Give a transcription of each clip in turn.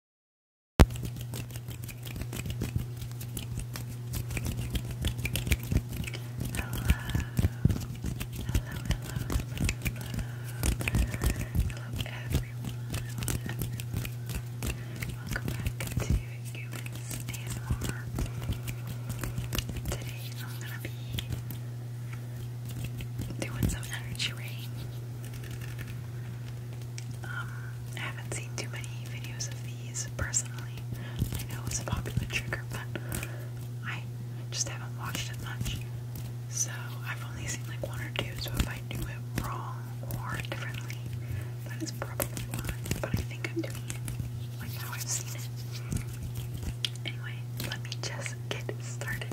everyone. Welcome back to Humans ASMR. Today I'm gonna be doing some energy um, I haven't seen too many videos of these personally. I know it's a popular trigger, but I just haven't watched it much. So I've only seen like one or two, so if I do it wrong or differently, that is probably why. But I think I'm doing it like how I've seen it. Anyway, let me just get started.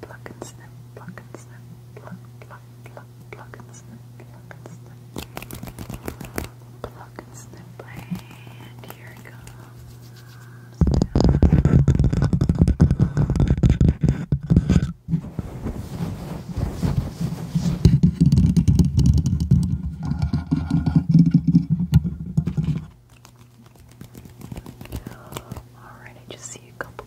pluck and snip, pluck and snip, pluck, pluck, pluck, pluck and snip, pluck and snip, pluck and snip, and here it comes. Alright, I just see a couple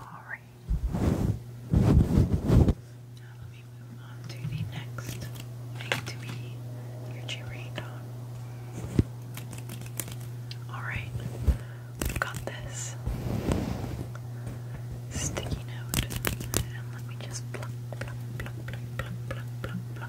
Alright. Now let me move on to the next thing to be your jewelry on. Alright. We've got this sticky note. And let me just pluck, pluck, pluck, pluck, pluck, pluck, pluck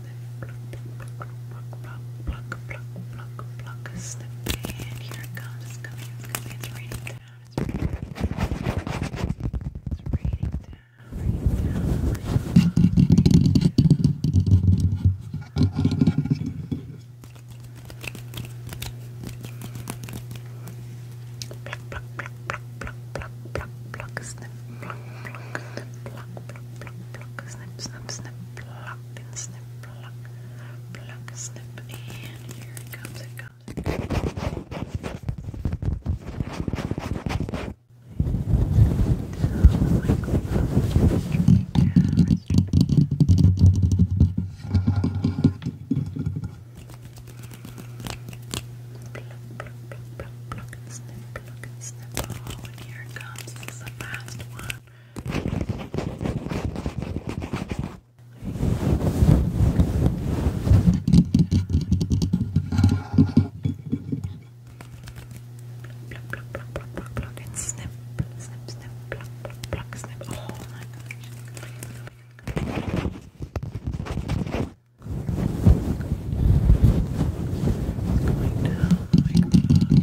sniff, pluck, pluck, pluck, pluck, pluck, pluck, pluck, sniff, here it comes, it's coming, coming, it's raining down, it's raining down, it's raining down, raining down, raining down. Pluck, pluck, pluck, pluck, pluck, pluck, pluck, pluck, snip, pluck, pluck, snip, pluck, pluck, pluck, pluck, snip, snip, snip, pluck, plop and snip, and here comes, it comes. Pluck, pluck, pluck, pluck, and snip, pluck, and Oh, here comes. the last one that. Pluck, pluck, pluck, pluck, pluck, pluck, and snip, snip, snip, pluck, pluck, pluck, snip. Oh my gosh. Going down like that.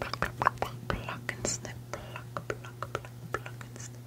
Pluck and snip, pluck, pluck, pluck, pluck and snip. Here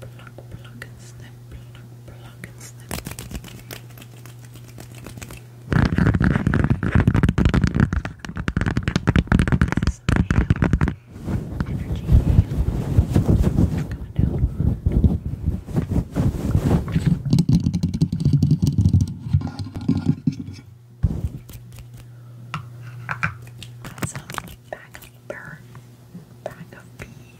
pluck, pluck and snip, pluck, pluck and snip. This energy hail. down Got some back of bird, back of bee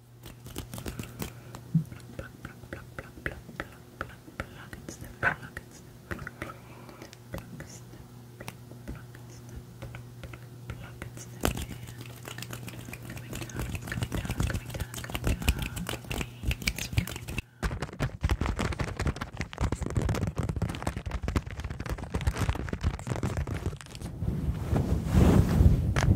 Pluck, pluck, pluck, pluck, pluck, pluck, pluck, pluck, and snip, pluck, and snip, pluck, pluck, pluck, snip, pluck, pluck, and snip, pluck, pluck, pluck, and snip, and coming down, it's coming down, coming down, coming down, the rain is coming down.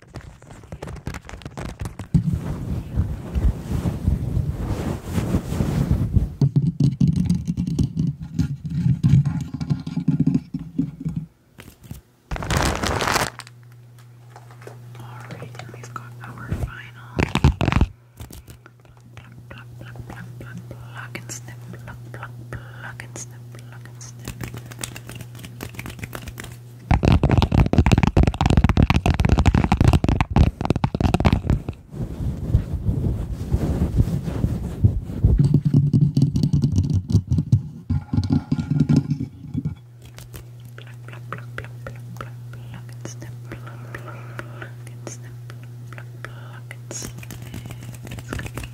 Alright, and we've got our final pluck, pluck, pluck, pluck, pluck, pluck and snip, pluck, pluck, pluck and snip, pluck, fucking stupid. Pluck, pluck, pluck, pluck, pluck, pluck, and snip, pluck, pluck, pluck, and snip, pluck, pluck, and snip. It's gonna be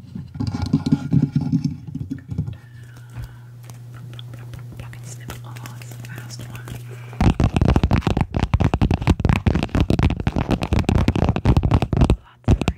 Pluck and snip. Oh, it's the last one. Lots of green. The torrential downpour today.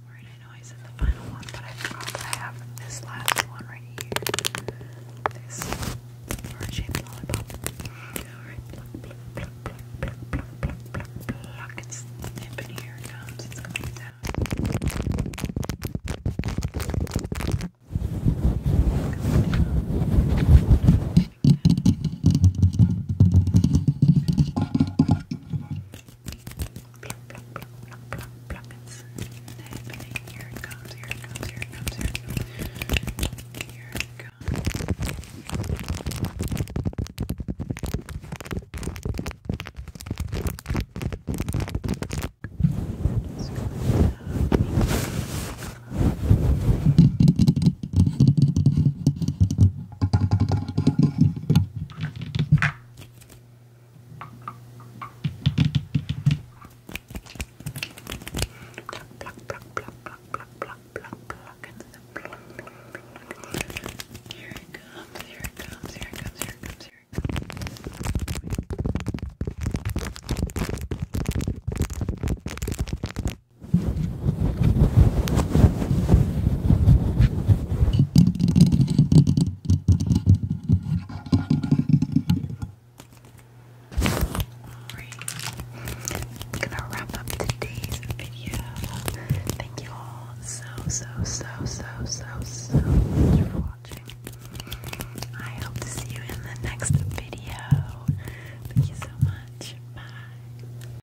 I know I said the final one, but I forgot that I have this last one right here. This heart lollipop. Alright, pluck, pluck, pluck, pluck, pluck, pluck, pluck, pluck, pluck. It's nipping here, it comes, it's Coming down. Pluck, pluck, pluck, pluck, pluck, pluck. It's happening. Here it comes, here it comes, here it comes, here it comes. Here it comes. It's going down. Pluck, pluck, pluck, pluck, pluck, pluck, pluck, pluck, and then pluck, pluck, pluck. Here it comes, here it comes, here it comes, here it comes, here it comes. Alright, i gonna wrap up today's video. Thank you all so, so, so, so, so, so much for watching. I hope to see you in the next video. Thank you so much. Bye.